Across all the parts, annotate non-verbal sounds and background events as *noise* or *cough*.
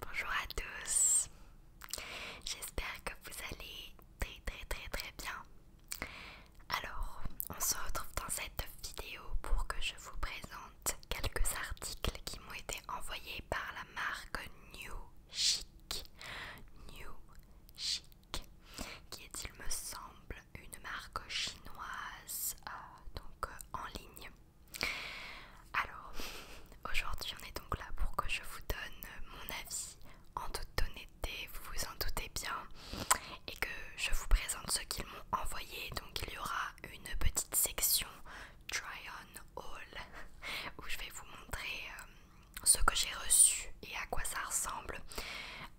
Bonjour à tous, j'espère que vous allez très très très très bien. Alors, on se retrouve dans cette vidéo pour que je vous présente quelques articles qui m'ont été envoyé par la marque New Chic. New Chic, qui est, il me semble, une marque chinoise, euh, donc euh, en ligne. Alors, aujourd'hui, on est donc là pour que je vous donne mon avis en toute honnêteté, vous vous en doutez bien, et que je vous présente ce qu'ils m'ont envoyé. Donc, il y aura une petite section try-on haul *laughs* où je vais vous montrer euh, ce que j'ai reçu et à quoi ça ressemble.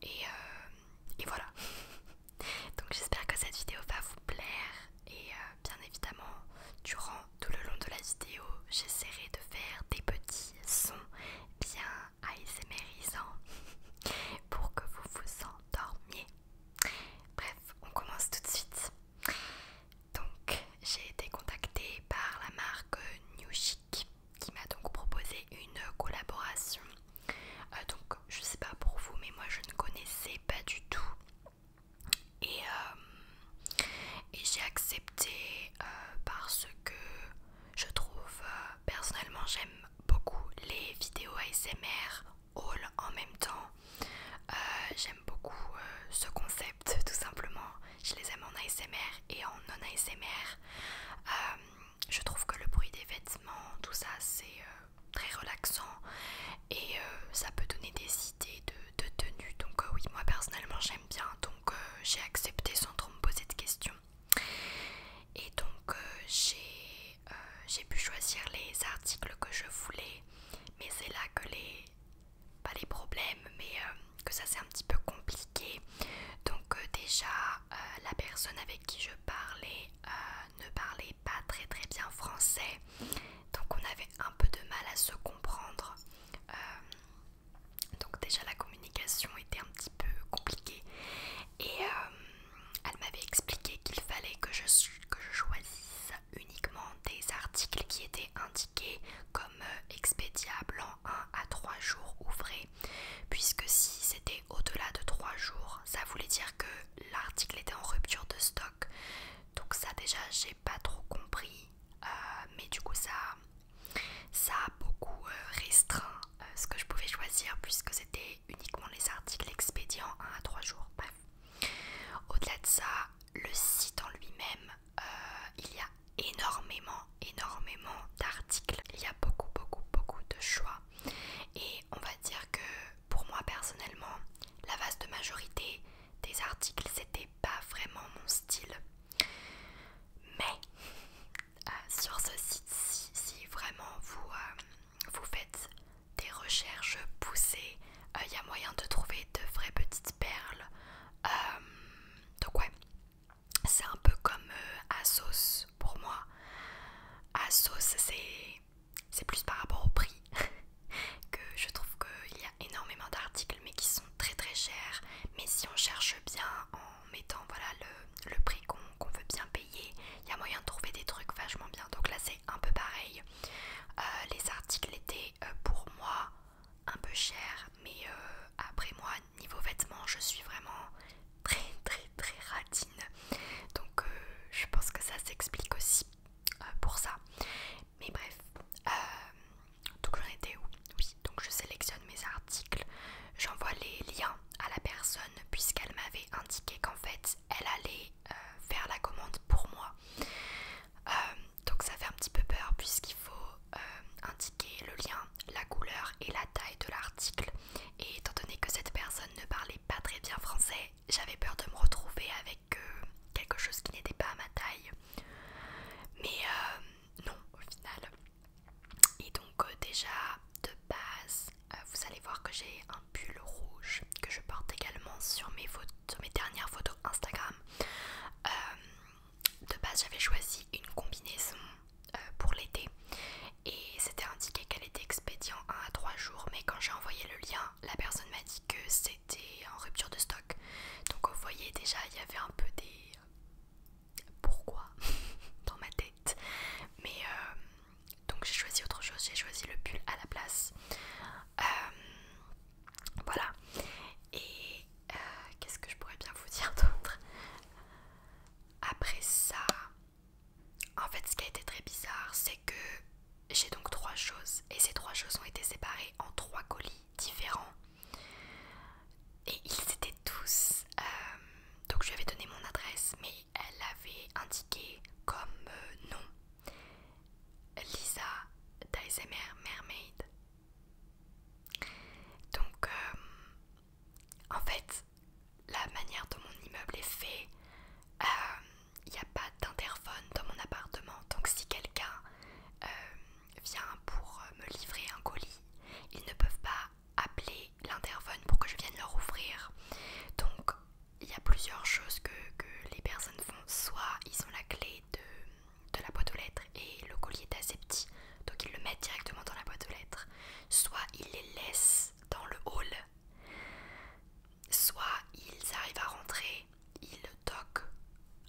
Et, euh, et voilà. *laughs* Donc j'espère que cette vidéo va vous plaire et euh, bien évidemment durant tout le long de la vidéo j'essaierai de faire des petits sons bien isémérisants *laughs* pour que vous vous endormiez. Bref, on commence tout de suite. Donc j'ai été contactée par la marque New Chic qui m'a donc proposé une collaboration. Euh, donc je sais pas pour vous mais moi je ne connaissais pas du tout. Et, euh, j'ai accepté euh, parce que je trouve personnellement j'aime beaucoup les vidéos ASMR haul en même temps. Euh, j'aime beaucoup euh, ce concept tout simplement. Je les aime en ASMR et en non-ASMR. Euh, je trouve que le bruit des vêtements, tout ça, c'est très relaxant et ça peut donner des idées de, de tenue. Donc oui, moi personnellement j'aime bien. Donc j'ai accepté sans trop me poser de questions. Et donc j'ai pu choisir les articles que je voulais. Mais c'est là que les pas les problèmes, mais euh, que ça c'est un petit peu compliqué. Donc euh, déjà, euh, la personne avec qui je parlais ne parlait pas très très bien français. Donc on avait un peu de mal à se comprendre. donc déjà la communication était un petit peu compliquée. Et elle m'avait expliqué qu'il fallait que je, que je choisisse uniquement des articles qui étaient indiqués comme euh, expédiables en 1 à 3 jours ouvrés, puisque si c'était au-delà de 3 jours, ça voulait dire que l'article était en rupture de stock. Donc ça déjà j'ai pas trop compris, euh, mais du coup ça, ça a beaucoup euh, restreint ce que je pouvais choisir puisque c'était uniquement les articles expédiés en 1 à 3 jours. Bref. Au-delà de ça, le site en lui-même, euh, il y a énormément, énormément d'articles. Il y a beaucoup, beaucoup, beaucoup de choix. Et on va dire que pour moi personnellement, la vaste majorité des articles, c'était pas vraiment mon style. Mais euh, sur ce site-ci, si vraiment vous, euh, vous faites des recherches poussées. Euh, il y a moyen de trouver de vraies petites perles. Euh, donc ouais, c'est un peu comme euh, Asos pour moi. Asos, c'est plus par rapport au prix *laughs* que je trouve qu'il y a énormément d'articles mais qui sont très très chers. Mais si on cherche bien en mettant voilà, le, prix qu'on veut bien payer, il y a moyen de trouver des trucs vachement bien. Donc là c'est un peu pareil. Euh, les articles étaient euh, pour moi un peu chers, mais euh, après moi, niveau vêtements, je suis vraiment très très très ratine Donc je pense que ça s'explique aussi pour ça. Mais bref, donc j'en étais où Oui, donc je sélectionne mes articles, j'envoie les liens à la personne puisqu'elle m'avait indiqué qu'en fait elle allait euh, faire la commande pour moi. Euh, donc ça fait un petit peu peur puisqu'il faut euh, indiquer le lien, la couleur et la taille de l'article. Et étant donné que cette personne ne parlait pas très bien français, j'avais peur de me retrouver avec quelque chose qui n'était pas à ma taille. Mais non au final. Et donc déjà de base, vous allez voir que j'ai un pull rouge que je porte également sur mes, mes dernières photos Instagram. Euh, de base, j'avais choisi une combinaison euh, pour l'été et c'était indiqué qu'elle était expédient 1 à 3 jours, mais quand j'ai envoyé le lien, la personne m'a dit que c'était en rupture de stock. Donc vous voyez déjà, il y avait un peu des euh, pourquoi *laughs* dans ma tête. Mais donc j'ai choisi autre chose, j'ai choisi le pull à la place. Euh, voilà. Et euh, qu'est-ce que je pourrais bien vous dire d'autre Après ça, en fait ce qui a été très bizarre, c'est que j'ai donc trois choses. Et ces trois choses ont été séparées en trois colis différents. Et ils étaient tous... Euh, donc je lui avais donné mon adresse, mais elle avait indiqué comme nom Lisa Dysemer Mermaid. Donc, euh, en fait, la manière dont mon immeuble est fait, il euh, n'y a pas d'interphone dans mon appartement. Donc, si quelqu'un euh, vient pour me livrer un colis, ils ne peuvent pas appeler l'interphone pour que je vienne leur ouvrir. Donc, il y a plusieurs choses que, les personnes font. Soit ils ont la clé de, la boîte aux lettres et le collier est assez petit, donc ils le mettent directement dans la boîte aux lettres. Soit ils les laissent dans le hall. Soit ils arrivent à rentrer, ils toquent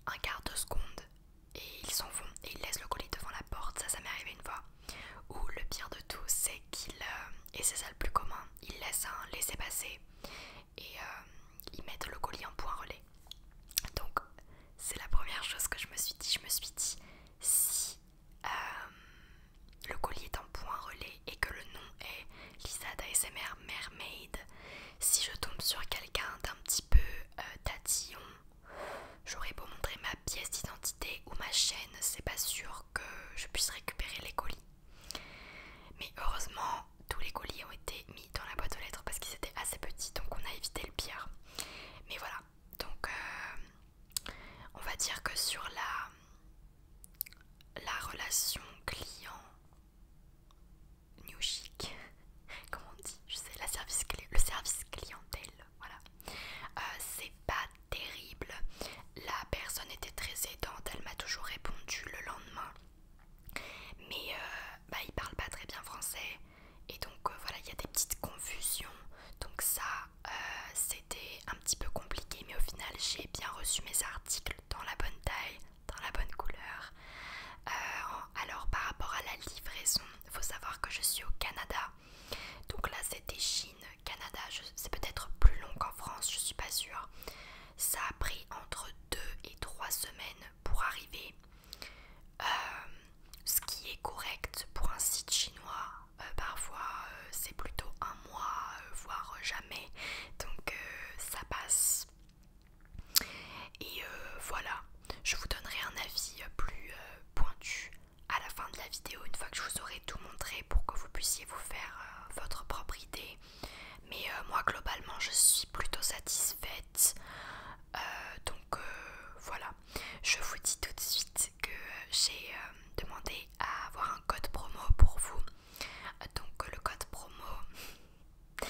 un quart de seconde et ils s'en vont et ils laissent le colis devant la porte. Ça, ça m'est arrivé une fois. Ou le pire de tout, c'est qu'ils, euh, et c'est ça le plus commun, ils laissent un laisser passer et euh, ils mettent le colis en point relais. Donc c'est la première chose que je me suis dit. Je me suis dit si euh, le colis est en point relais et que le nom est Lisa d'ASMR Mermaid, si je tombe sur quelqu'un d'un petit peu euh, tatillon, j'aurais beau montrer ma pièce d'identité ou ma chaîne, c'est pas sûr que je puisse récupérer les colis. Mais heureusement, tous les colis ont été mis dans la boîte aux lettres parce qu'ils étaient assez petits, donc on a évité le pire. Mais voilà, donc euh, on va dire que sur la, la relation client new chic, *laughs* Comment on dit, je sais, la service, le service clientèle, voilà, euh, c'est pas terrible la personne était très aidante, elle m'a toujours répondu le lendemain. Mais euh, bah, il parle pas très bien français et donc euh, voilà, il y a des petites confusions. Donc ça, euh, c'était un petit peu compliqué, mais au final, j'ai bien reçu mes articles dans la bonne taille, dans la bonne couleur. alors par rapport à la livraison, il faut savoir que je suis au Canada. Donc là, c'était Chine, Canada. C'est peut-être plus long qu'en France, je suis pas sûre. Ça a pris entre 2 et 3 semaines pour arriver, euh, ce qui est correct pour un site chinois. Euh, parfois, euh, c'est plutôt un mois, voire jamais. Donc, ça passe. Et voilà, je vous donnerai un avis plus pointu à la fin de la vidéo, une fois que je vous aurai tout montré pour que vous puissiez vous faire votre propre idée mais euh, moi globalement je suis plutôt satisfaite. Euh, donc euh, voilà. Je vous dis tout de suite que j'ai demandé à avoir un code promo pour vous. Donc le code promo, *laughs*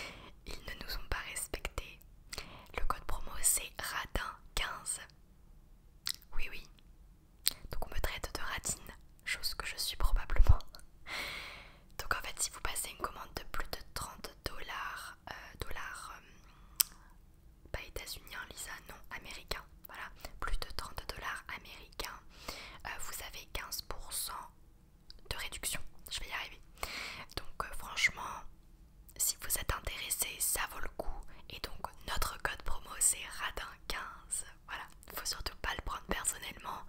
ils ne nous ont pas respecté, Le code promo c'est radin15. Oui oui, donc on me traite de radine, chose que je suis probablement. Donc en fait si vous passez une commande de plus de 30 dollars, euh, dollars euh, pas états unien hein, Lisa, non, américain voilà, plus de 30 dollars américains, euh, vous avez 15% de réduction, je vais y arriver. Donc franchement, si vous êtes intéressé, ça vaut le coup. Et donc notre code promo c'est radin15 voilà, faut surtout pas le prendre personnellement.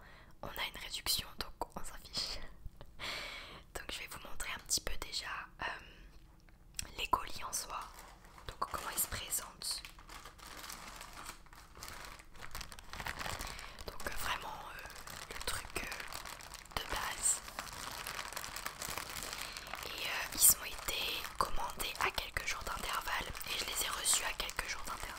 On a une réduction donc on s'en fiche. *laughs* donc je vais vous montrer un petit peu déjà euh, les colis en soi. Donc comment ils se présentent. Donc euh, vraiment euh, le truc de base. Et ils ont été commandés à quelques jours d'intervalle et je les ai reçus à quelques jours d'intervalle.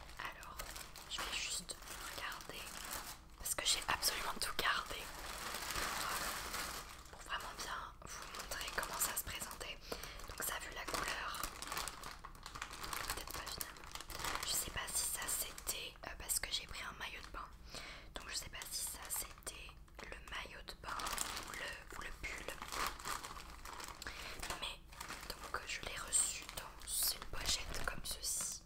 Alors, je vais juste regarder parce que j'ai absolument tout gardé pour, euh, vraiment bien vous montrer comment ça se présentait. Donc ça vu la couleur, peut-être pas Je sais pas si ça c'était euh, parce que j'ai pris un maillot de bain. Donc je sais pas si ça c'était le maillot de bain ou le, ou le pull. Mais donc euh, je l'ai reçu dans une pochette comme ceci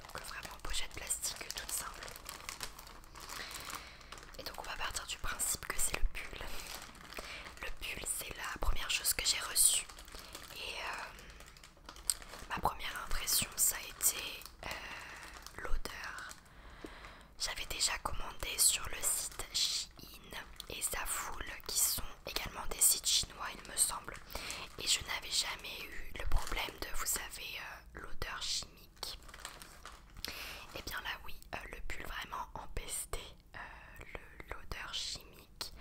donc euh, vraiment pochette plastique euh, toute simple et donc on va partir du principe que c'est le pull le pull c'est la première chose que j'ai reçue et ma première impression ça a été l'odeur j'avais déjà commandé sur le site Shein et Zafoul qui sont également des sites chinois il me semble et je n'avais jamais eu le problème de vous savez euh, l'odeur chimique. Et eh bien là oui, euh, le pull vraiment empesté euh, l'odeur chimique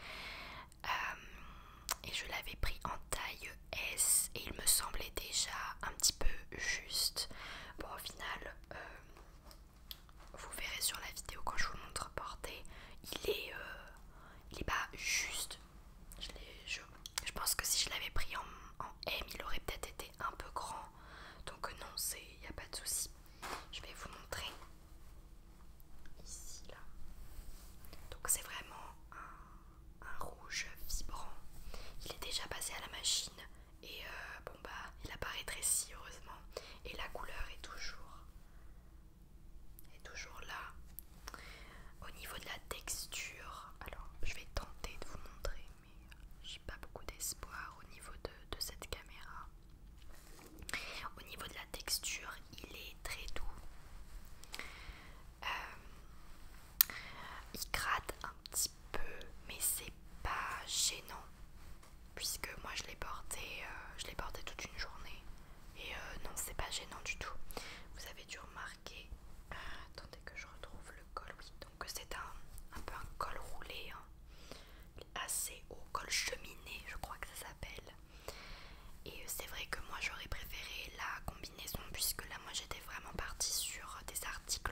et je l'avais pris en taille S et il me semblait déjà un petit peu juste. Bon au final vous verrez sur la vidéo quand je vous montre porté, il est, euh, il est pas juste. Je, pense que si je l'avais pris en, M, il aurait peut-être été un peu grand. Donc euh, non, il n'y a pas de souci. Je vais vous montrer ici là. Donc c'est vraiment un, un rouge vibrant. Il est déjà passé à la machine et euh, bon bah il apparaît très si heureusement et la couleur est toujours est toujours là au niveau de la texture alors je vais tenter de vous montrer mais j'ai pas beaucoup d'espoir au niveau de, cette caméra au niveau de la texture il est très doux euh, il gratte un petit peu, mais c'est pas gênant puisque moi je l'ai porté, euh, je l'ai porté toute une journée et euh, non c'est pas gênant du tout. Vous avez dû remarquer, euh, attendez que je retrouve le col, oui donc c'est un, peu un col roulé, hein. assez haut, col cheminé je crois que ça s'appelle. Et c'est vrai que moi j'aurais préféré la combinaison puisque là moi j'étais vraiment partie sur des articles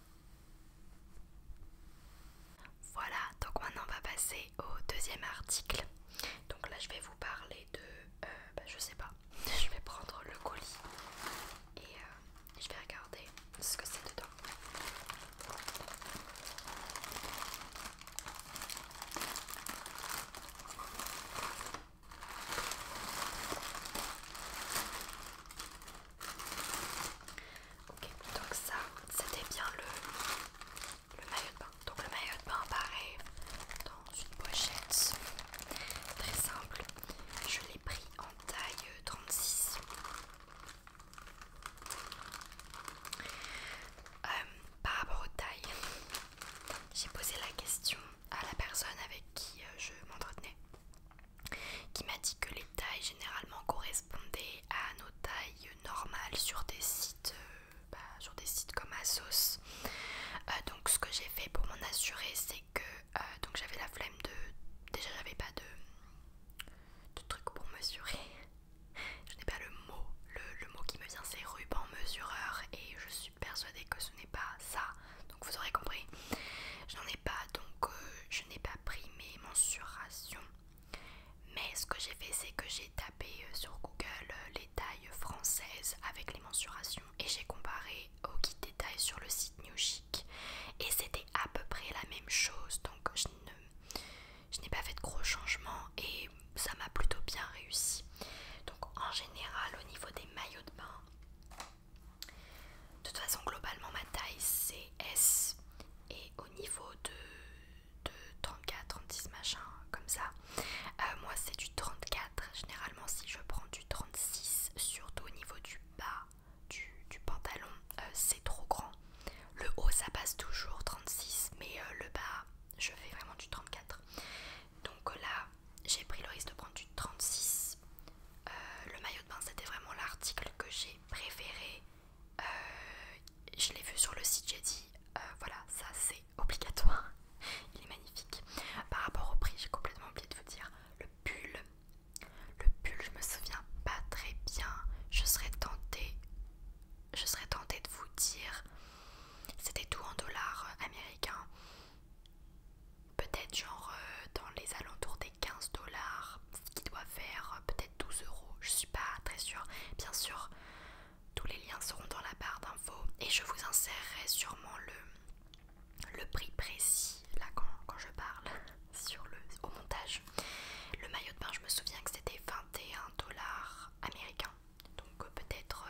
Voilà, donc maintenant on va passer au deuxième article. Donc là je vais vous parler de... Euh, bah, je sais pas, *laughs* je vais prendre le colis et euh, je vais regarder ce que c'est dedans. Ok, donc ça, c'était bien le, le maillot de bain. Donc le maillot de bain apparaît dans une pochette très simple. Je l'ai pris en taille 36. Euh, par rapport aux tailles, j'ai posé la question à la personne avec qui euh, je m'entretenais qui m'a dit que les tailles généralement correspondaient à nos tailles normales sur des sites, euh, bah, sur des sites comme Asos. Euh, donc ce que j'ai fait pour m'en assurer, c'est que euh, donc j'avais la flemme de, déjà j'avais pas de, truc pour mesurer. *laughs* Je n'ai pas le mot, le, le mot qui me vient c'est ruban mesureur et je suis persuadée que ce n'est pas ça donc vous aurez compris. je n'en ai pas, donc euh, je n'ai pas pris mes mensurations. Mais ce que j'ai fait, c'est que j'ai tapé euh, sur Google euh, les tailles françaises avec les mensurations et j'ai comparé au kit des tailles sur le site New Chic. Et c'était à peu près la même chose, donc je je n'ai pas fait de gros changements et ça m'a plutôt bien réussi. Donc en général au niveau des maillots de bain, de toute façon, globalement, ma taille c'est S et au niveau de, 34, 36, machin, comme ça, euh, moi c'est du 34. Généralement, si je prends du 36, surtout au niveau du bas du, pantalon, euh, c'est trop grand. Le haut ça passe toujours 36, mais euh, le bas je fais vraiment du 34. Donc là, j'ai pris le risque de prendre du 36. Euh, le maillot de bain, c'était vraiment l'article que j'ai préféré. Euh, je l'ai vu sur le site, j'ai dit euh, voilà, ça c'est *laughs* obligatoire. Il est magnifique. Par rapport au prix, j'ai complètement oublié de vous dire le pull. Le pull, je me souviens pas très bien. Je je serais tentée de vous dire, c'était tout en dollars américains peut-être genre euh, dans les alentours des 15 dollars, qui doit faire euh, peut-être 12 euros, je suis pas très sûre. Bien sûr, tous les liens seront dans la barre d'infos et je vous insérerai sûrement le, prix précis là quand, je parle *laughs* sur le, au montage. Le maillot de bain, je me souviens que c'était 21 dollars américains, donc euh, peut-être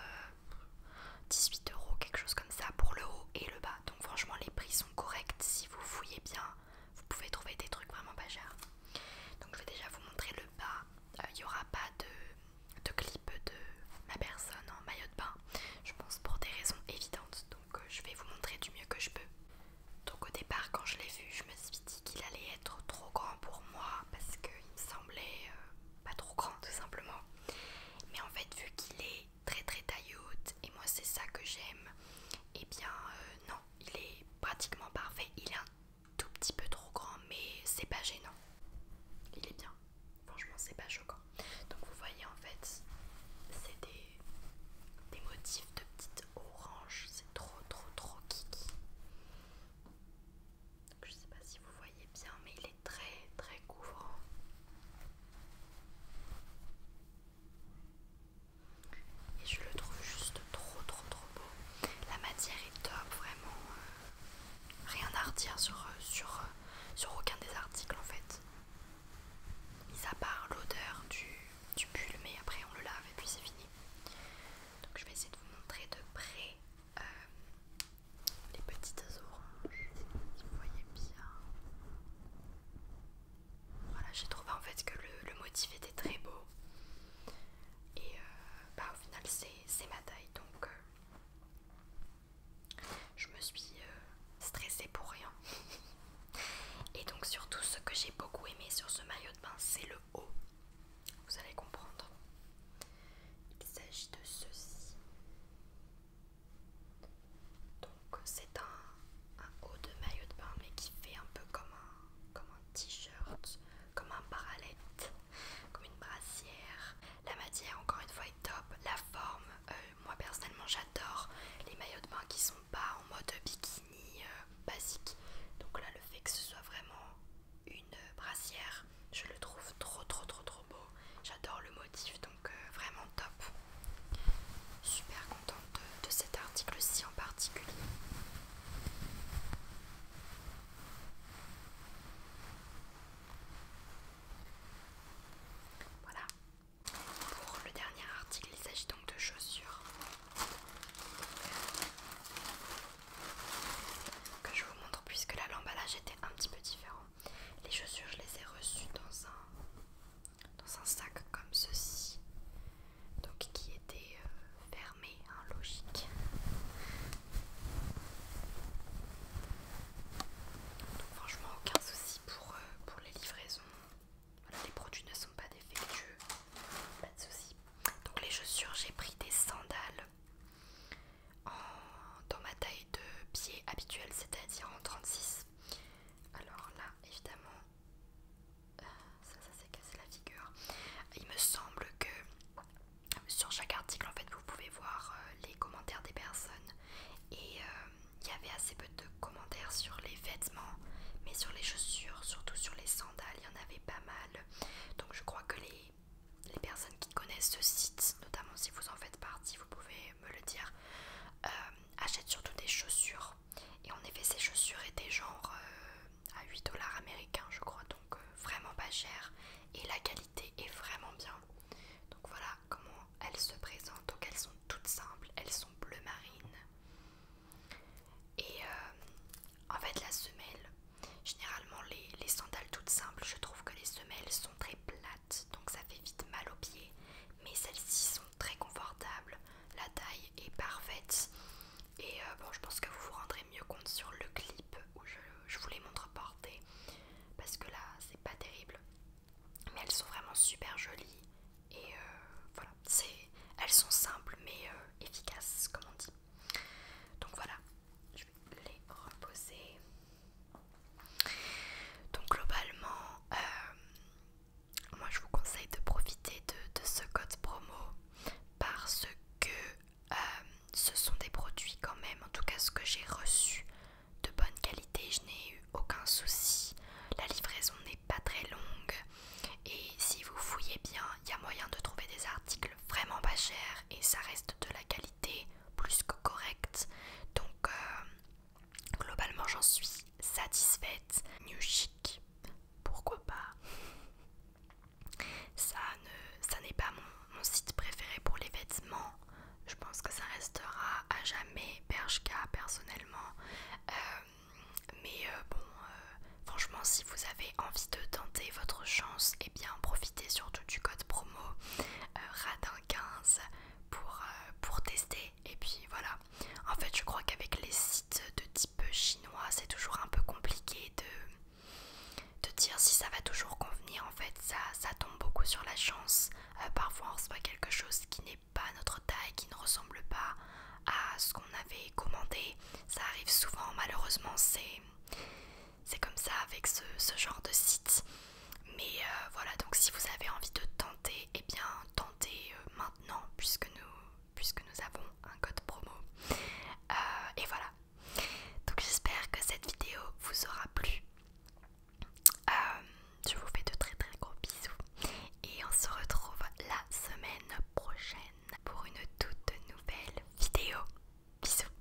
18 euros, quelque chose comme ça pour le haut et le bas. Donc franchement les prix sont corrects. Si vous fouillez bien, vous pouvez trouver des trucs vraiment pas chers. Donc je vais déjà vous montrer le bas. Euh, il n'y aura pas de, clip de ma personne en maillot de bain. Je pense pour des raisons évidentes. Donc euh, je vais vous montrer du mieux que je peux. Donc au départ quand je l'ai vu, je me suis dit qu'il allait être trop grand pour moi parce qu'il me semblait euh, pas trop grand tout simplement. Mais en fait vu qu'il est très très et moi c'est ça que j'aime et eh bien euh, non il est pratiquement parfait il est un tout petit peu trop grand mais c'est pas gênant il est bien franchement c'est pas choquant donc vous voyez en fait c'est des, motifs de petites oranges c'est trop trop trop kiki je sais pas si vous voyez bien mais il est très très couvrant. Et je le trouve juste trop trop trop beau. La matière est top, vraiment. Euh, rien à redire sur, euh, sur, euh, sur aucun des articles en fait. Mis à part l'odeur du, pull, mais après on le lave et puis c'est fini. Donc je vais essayer de vous montrer de près les petites oranges, si vous voyez bien. Voilà, j'ai trouvé en fait que le, motif était très beau. Et euh, bah, au final, c'est ma taille. Donc, euh, je me suis euh, stressée pour rien. *laughs* Et donc, surtout, ce que j'ai beaucoup aimé sur ce maillot de bain, c'est le haut. Vous allez comprendre. Il s'agit de ceci. Donc c'est un, haut de maillot de bain mais qui fait un peu comme un, comme un t-shirt, comme un parallèle comme une brassière. La matière encore une fois est top, la forme, euh, moi personnellement j'adore les maillots de bain qui sont pas en mode bikini euh, basique. Donc là le fait que ce soit vraiment une euh, brassière, je le trouve trop trop trop trop beau. J'adore le motif euh, vraiment top. Super contente de, de cet article-ci en particulier. Voilà. Pour le dernier article, il s'agit donc de chaussures euh, que je vous montre puisque là l'emballage était un petit peu différent. Les chaussures, je les ai reçues dans un, dans un sac comme ceci, donc qui était euh, fermé, hein, logique. Donc, franchement, aucun souci pour, euh, pour les livraisons. les produits ne sont pas défectueux, pas de souci. Donc les chaussures, j'ai pris des sandales dans ma taille de pied habituelle, c'est-à-dire en 36. Alors là, évidemment, euh, ça, ça s'est cassé la figure. Il me semble que sur chaque article, en fait, vous pouvez voir euh, les commentaires des personnes. Et euh, il y avait assez peu de commentaires sur les vêtements, mais sur les chaussures, surtout sur les sandales, il y en avait pas mal. Donc je crois que les, les personnes qui connaissent ce site, notamment si vous en faites partie, vous pouvez me le dire, euh, achète surtout des chaussures. Et en effet, ces chaussures étaient genre euh, à 8 dollars américains, je crois, donc euh, vraiment pas cher. Et la qualité est vraiment bien. Donc voilà comment elles se présentent. Donc elles sont toutes simples, elles sont bleu marine. Et en fait, la semelle, généralement les sandales toutes simples, je trouve que les semelles sont très plates donc ça fait vite mal aux pieds. Mais celles-ci sont très confortables, la taille est parfaite. Et euh, bon, je pense que vous vous rendrez mieux compte sur le clip où je, vous les montre portées. Parce que là, c'est pas terrible. Mais elles sont vraiment super jolies. Et euh, voilà voilà, elles sont simples mais euh, efficaces, comme on dit. Donc voilà, je vais les reposer. Donc globalement, euh, moi je vous conseille de profiter de, ce code promo parce que euh, ce sont des produits quand même, en tout cas ce que j'ai reçu de bonne qualité, je n'ai eu aucun souci. La livraison n'est pas très longue et si vous fouillez bien, il y a moyen de trouver des articles vraiment pas chers et ça reste de la qualité plus que correct Donc euh, globalement j'en suis satisfaite. New chic, pourquoi pas Ça ne, ça n'est pas mon, site préféré pour les vêtements. Je pense que ça restera à jamais bergka personnellement. Euh, mais euh, bon, franchement, si vous avez envie de tenter votre chance, et eh bien profitez surtout du code promo Radin 15 euh, pour, tester et puis voilà en fait je crois qu'avec les sites de type chinois c'est toujours un peu compliqué de, dire si ça va toujours convenir en fait ça, ça tombe beaucoup sur la chance euh, parfois on voit quelque chose qui n'est pas notre taille qui ne ressemble pas à ce qu'on avait commandé ça arrive souvent malheureusement c'est c'est comme ça avec ce, genre de site. Mais euh, voilà, donc si vous avez envie de tenter, eh bien tentez euh, maintenant puisque nous, puisque nous avons un code promo. Euh, et voilà. Donc j'espère que cette vidéo vous aura plu. je vous fais de très très gros bisous. Et on se retrouve la semaine prochaine pour une toute nouvelle vidéo. Bisous